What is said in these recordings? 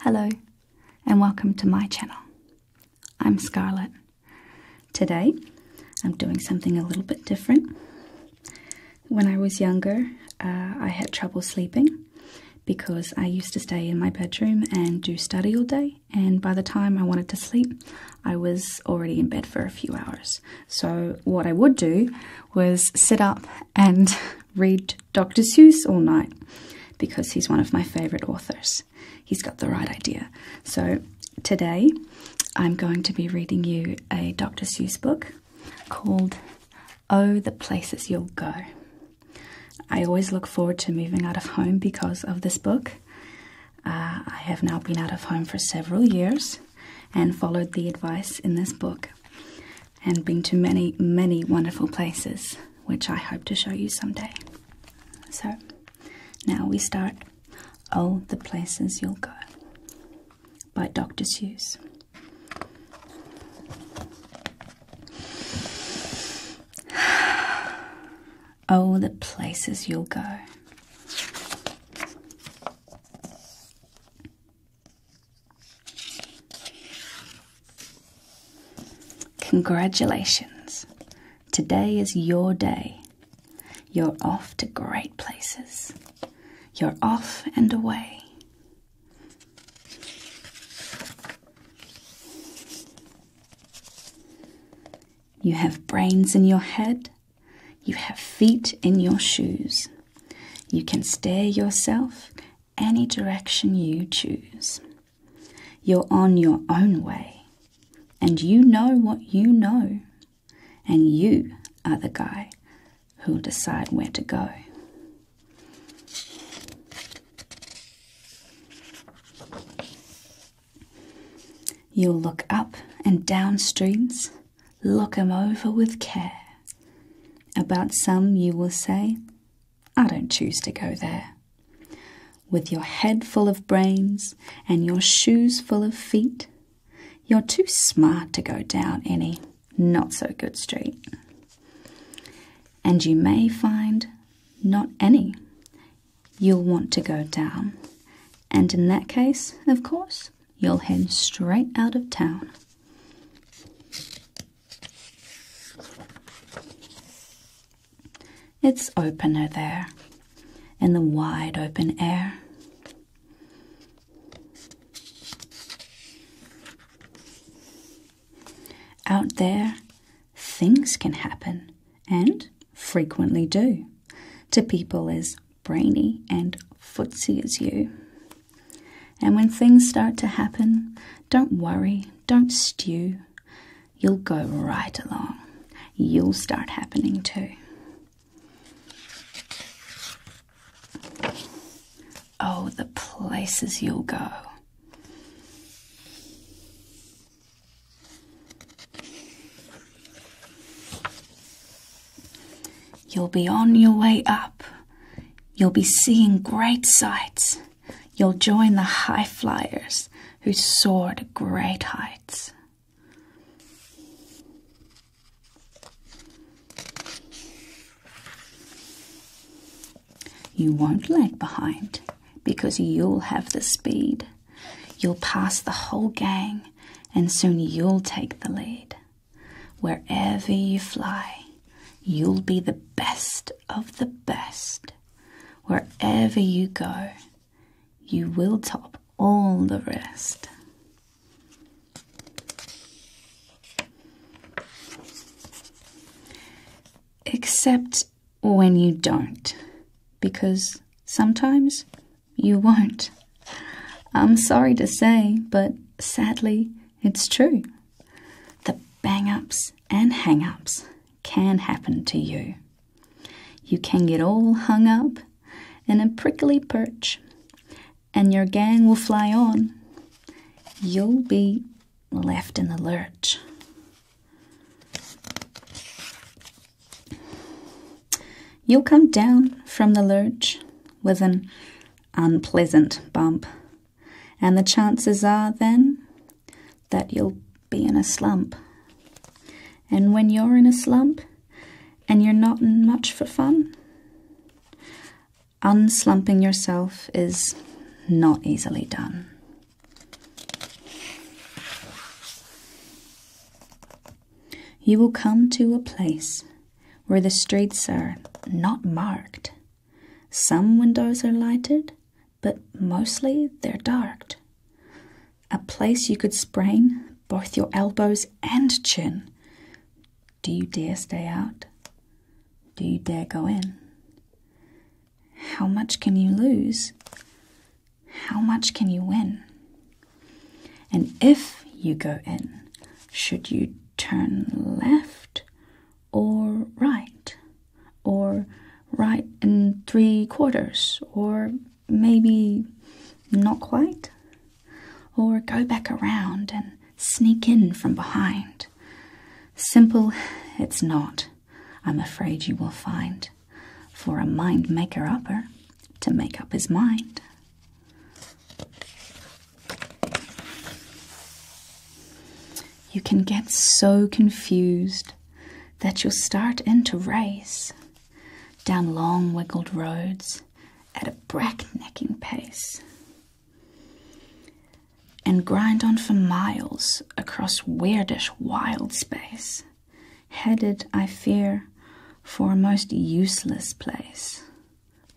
Hello, and welcome to my channel. I'm Scarlett. Today, I'm doing something a little bit different. When I was younger, uh, I had trouble sleeping because I used to stay in my bedroom and do study all day, and by the time I wanted to sleep, I was already in bed for a few hours. So, what I would do was sit up and read Dr. Seuss all night because he's one of my favorite authors. He's got the right idea. So today I'm going to be reading you a Dr. Seuss book called Oh, the Places You'll Go. I always look forward to moving out of home because of this book. Uh, I have now been out of home for several years and followed the advice in this book and been to many, many wonderful places, which I hope to show you someday. So, now we start Oh, the Places You'll Go by Dr. Seuss. Oh, the places you'll go. Congratulations. Today is your day. You're off to great places. You're off and away. You have brains in your head. You have feet in your shoes. You can stare yourself any direction you choose. You're on your own way, and you know what you know, and you are the guy who'll decide where to go. You'll look up and down streets, look 'em over with care. About some you will say, I don't choose to go there. With your head full of brains and your shoes full of feet, you're too smart to go down any not so good street. And you may find not any you'll want to go down. And in that case, of course, you'll head straight out of town. It's opener there in the wide open air. Out there, things can happen and frequently do to people as brainy and footsy as you. And when things start to happen, don't worry, don't stew. You'll go right along. You'll start happening too. Oh, the places you'll go. You'll be on your way up. You'll be seeing great sights you'll join the high flyers who soar to great heights. You won't lag behind because you'll have the speed. You'll pass the whole gang and soon you'll take the lead. Wherever you fly, you'll be the best of the best. Wherever you go, you will top all the rest. Except when you don't, because sometimes you won't. I'm sorry to say, but sadly, it's true. The bang ups and hang ups can happen to you. You can get all hung up in a prickly perch, and your gang will fly on. You'll be left in the lurch. You'll come down from the lurch with an unpleasant bump and the chances are then that you'll be in a slump. And when you're in a slump and you're not much for fun, unslumping yourself is not easily done. You will come to a place where the streets are not marked. Some windows are lighted, but mostly they're darked. A place you could sprain both your elbows and chin. Do you dare stay out? Do you dare go in? How much can you lose? How much can you win? And if you go in, should you turn left or right? or right in three quarters, or maybe not quite, or go back around and sneak in from behind. Simple it's not, I'm afraid you will find, for a mind maker upper to make up his mind you can get so confused that you'll start in to race down long wiggled roads at a bracknecking pace and grind on for miles across weirdish wild space headed i fear for a most useless place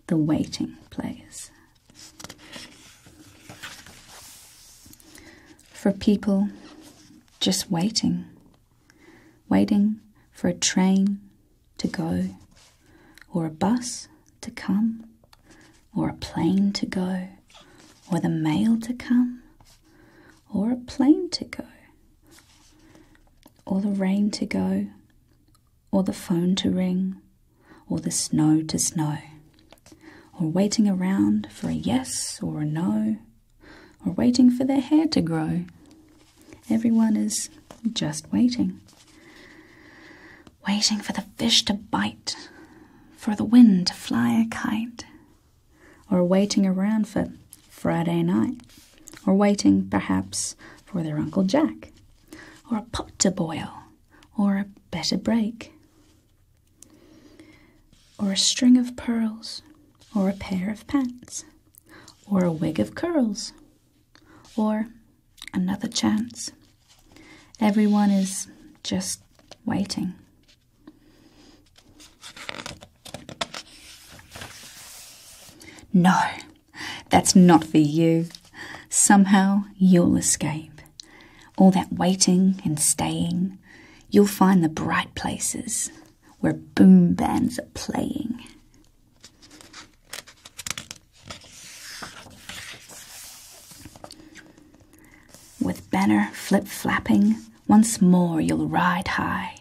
the waiting place for people just waiting, waiting for a train to go, or a bus to come, or a plane to go, or the mail to come, or a plane to go, or the rain to go, or the phone to ring or the snow to snow, or waiting around for a yes or a no, or waiting for their hair to grow. Everyone is just waiting. Waiting for the fish to bite, for the wind to fly a kite, or waiting around for Friday night, or waiting perhaps for their Uncle Jack, or a pot to boil, or a better break or a string of pearls, or a pair of pants, or a wig of curls, or another chance. Everyone is just waiting. No, that's not for you. Somehow you'll escape all that waiting and staying, you'll find the bright places where boom bands are playing. With banner flip flapping, once more you'll ride high,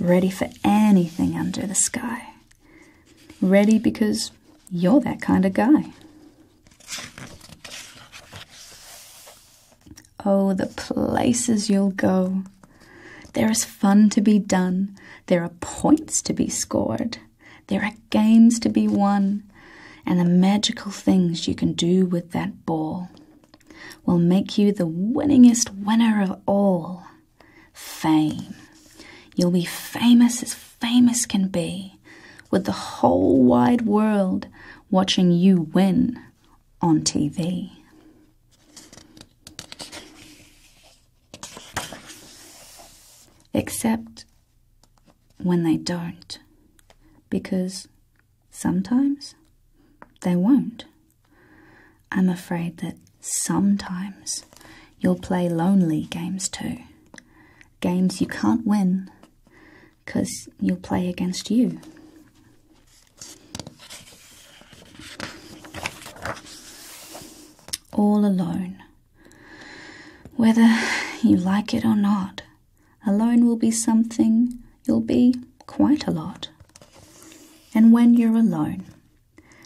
ready for anything under the sky. Ready because you're that kind of guy. Oh, the places you'll go. There is fun to be done, there are points to be scored, there are games to be won, and the magical things you can do with that ball will make you the winningest winner of all fame. You'll be famous as famous can be with the whole wide world watching you win on TV. Except when they don't, because sometimes they won't. I'm afraid that sometimes you'll play lonely games too. Games you can't win, because you'll play against you. All alone. Whether you like it or not, alone will be something you'll be quite a lot. And when you're alone,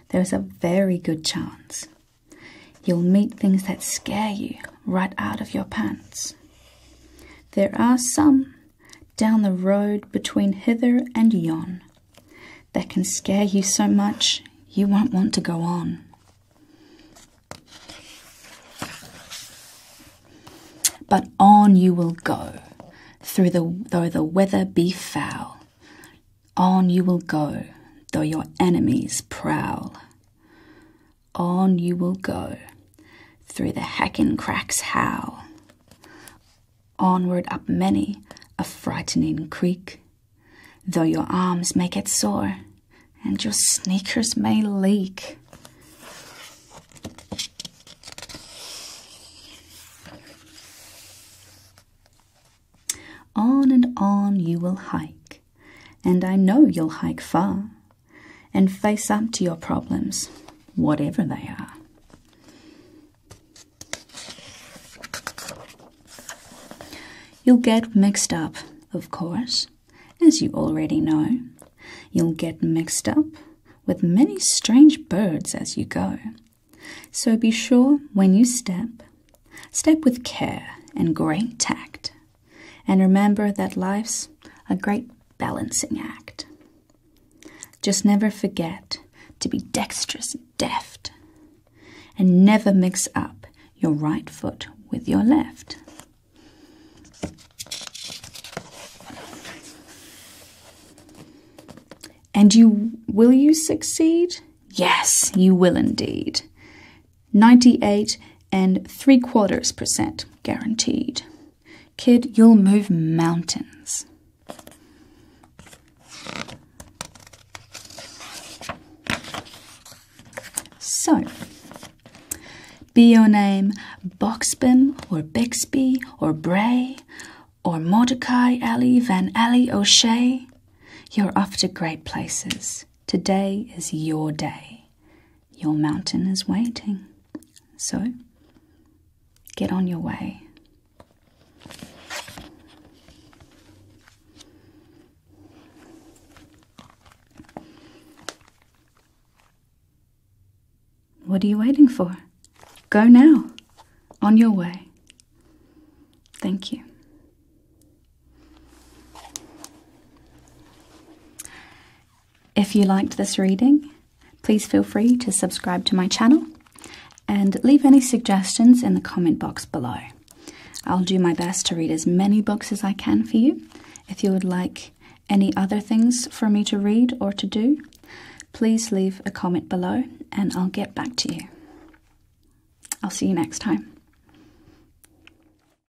there's a very good chance You'll meet things that scare you right out of your pants. There are some down the road between hither and yon that can scare you so much you won't want to go on. But on you will go, through the, though the weather be foul. On you will go, though your enemies prowl. On you will go, through the hacking cracks howl. Onward up many a frightening creek, though your arms may get sore and your sneakers may leak. On and on you will hike, and I know you'll hike far and face up to your problems, whatever they are. You'll get mixed up, of course, as you already know. You'll get mixed up with many strange birds as you go. So be sure when you step, step with care and great tact, and remember that life's a great balancing act. Just never forget to be dexterous and deft, and never mix up your right foot with your left. And you will you succeed? Yes, you will indeed. 98 and 3 quarters percent guaranteed. Kid, you'll move mountains. So, be your name Boxbin or Bixby or Bray or Mordecai Alley Van Alley O'Shea, you're off to great places. Today is your day. Your mountain is waiting. So, get on your way. What are you waiting for? Go now, on your way. Thank you. If you liked this reading, please feel free to subscribe to my channel and leave any suggestions in the comment box below. I'll do my best to read as many books as I can for you. If you would like any other things for me to read or to do, please leave a comment below and I'll get back to you. I'll see you next time.